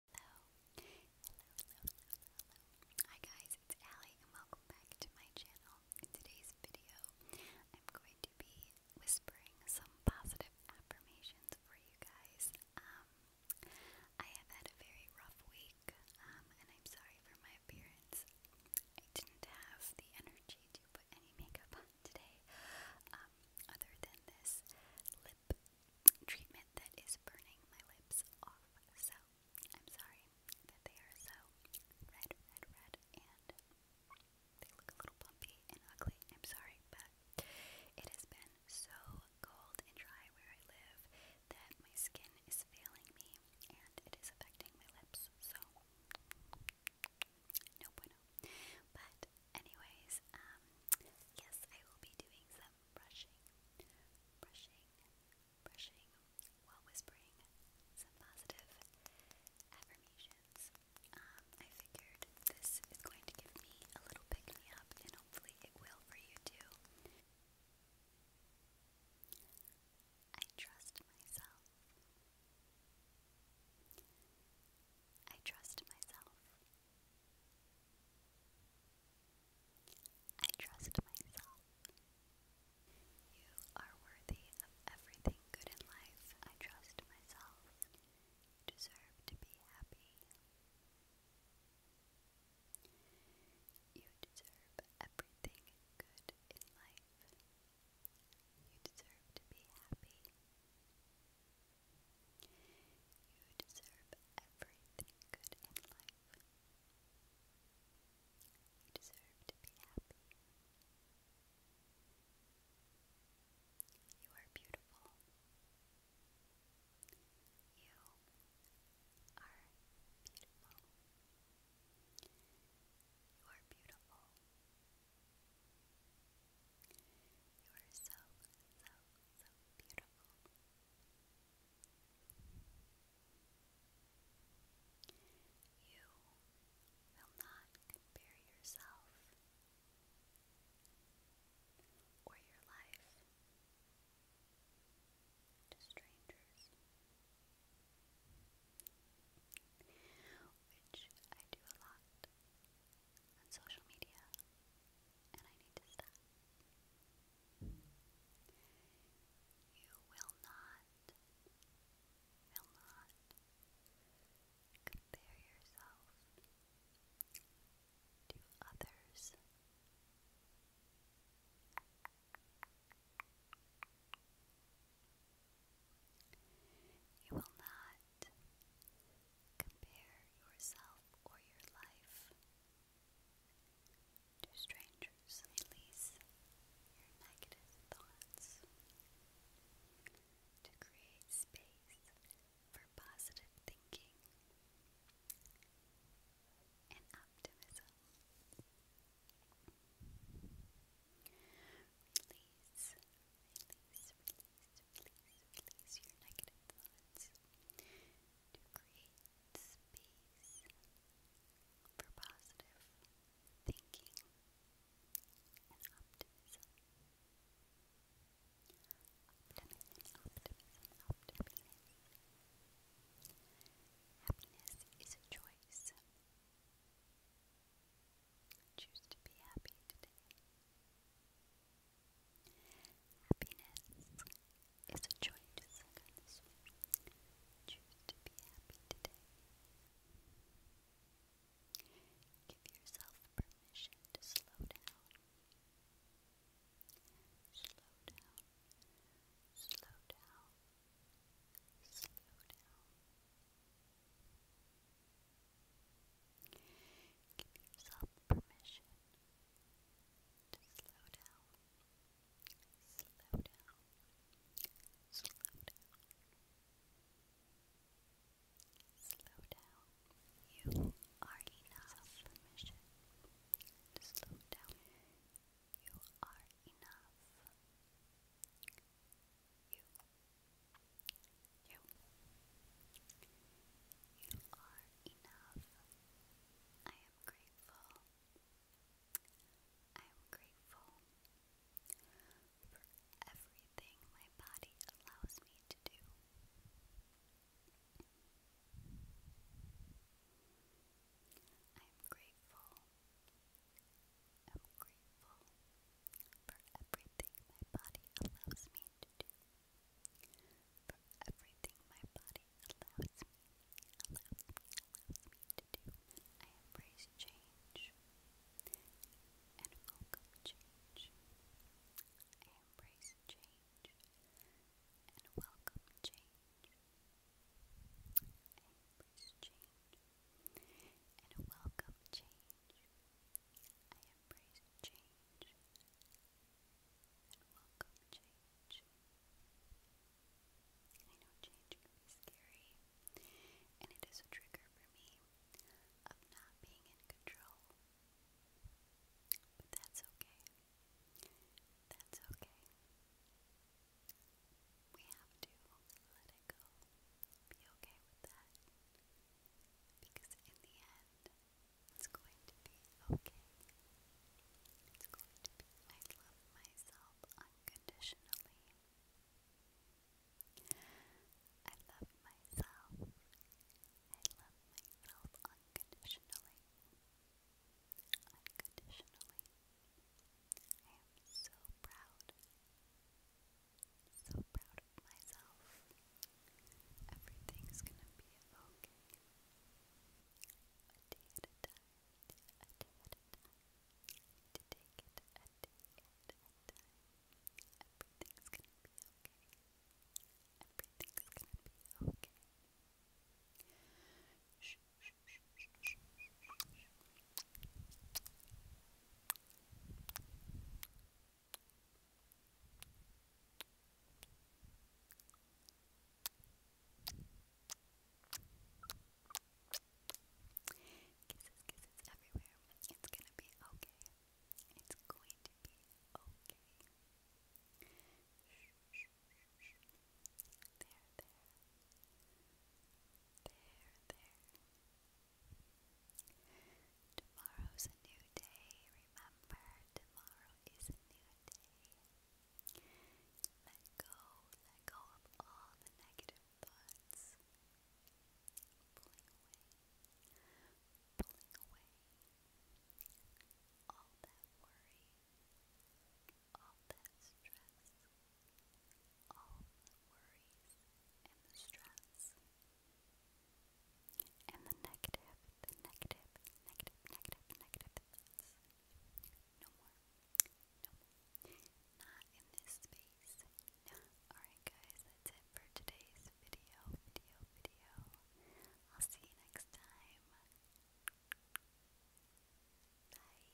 Hi guys, it's Allie and welcome back to my channel. In today's video, I'm going to be whispering some positive affirmations for you guys. Um, I have had a very rough week, um, and I'm sorry for my appearance. I didn't have the energy to put any makeup on today, um, other than this lip treatment that is burning my lips off. So I'm sorry that they are so red, red, red, and they look a little bumpy and ugly. I'm sorry, but it has been so cold and dry where I live that my skin is failing me and it is affecting my lips. So no bueno. But anyways, um yes, I will be doing some brushing, brushing, brushing while whispering some positive affirmations. Um, I figured this is going to give me a little pick me up, and hopefully, it will for you too. I trust myself. I trust myself. I trust myself. You are worthy of everything good in life. I trust myself. You deserve to be happy. You deserve everything good in life. You deserve to be happy. You deserve everything good in life. You deserve to be happy. You are beautiful. You are beautiful. You are beautiful. You you are so, so, so beautiful. You will not compare yourself or your life to strangers, which I do a lot on social media, and I need to stop. You will not, will not compare yourself to others. You will not compare yourself or your life to strangers. Release your negative thoughts to create space for positive thinking and optimism. Release, release, please, release your negative thoughts to create space for positive thinking and optimism. Happiness is a choice. Choose to be happy today. Happiness is a choice. Choose to be happy today. Give yourself permission to slow down. Slow down. Slow down. Slow down. Give yourself permission to slow down. Slow down. Slow down. Slow down. You are enough. Permission to slow down. You are enough. You. You. are enough. I am grateful. I am grateful for everything my body allows me to do. I am grateful I'm grateful for everything my body allows me to do. For everything my body allows me, allows me, to do. I embrace change and welcome change. I embrace change and welcome change. I embrace change and welcome change. I embrace change and welcome change. I know change can be scary, and it is a trigger for me of not being in control. But that's okay. That's okay we have to let it go. Be okay with that. Because in the end, it's going to be okay. It's going to be, I love myself unconditionally. I love myself. I love myself unconditionally. Unconditionally. I am so proud. So proud of myself. Everything's gonna be okay. A day To take it Everything's gonna be okay. Everything's gonna be okay. Shh, shh, shh, Kisses, kisses everywhere. It's gonna be okay. It's going to be okay. Shh, shh, shh, shh. There, there. There, there. Tomorrow's a new day. Remember, tomorrow is a new day. Let go, let go of all the negative thoughts. Pulling away, pulling away all that worry all that stress, all the worries and the stress, and the negative, the negative, negative, negative, negative No more. No Not in this space. No. Alright guys, that's it for today's video, video, video. I'll see you next time. Bye.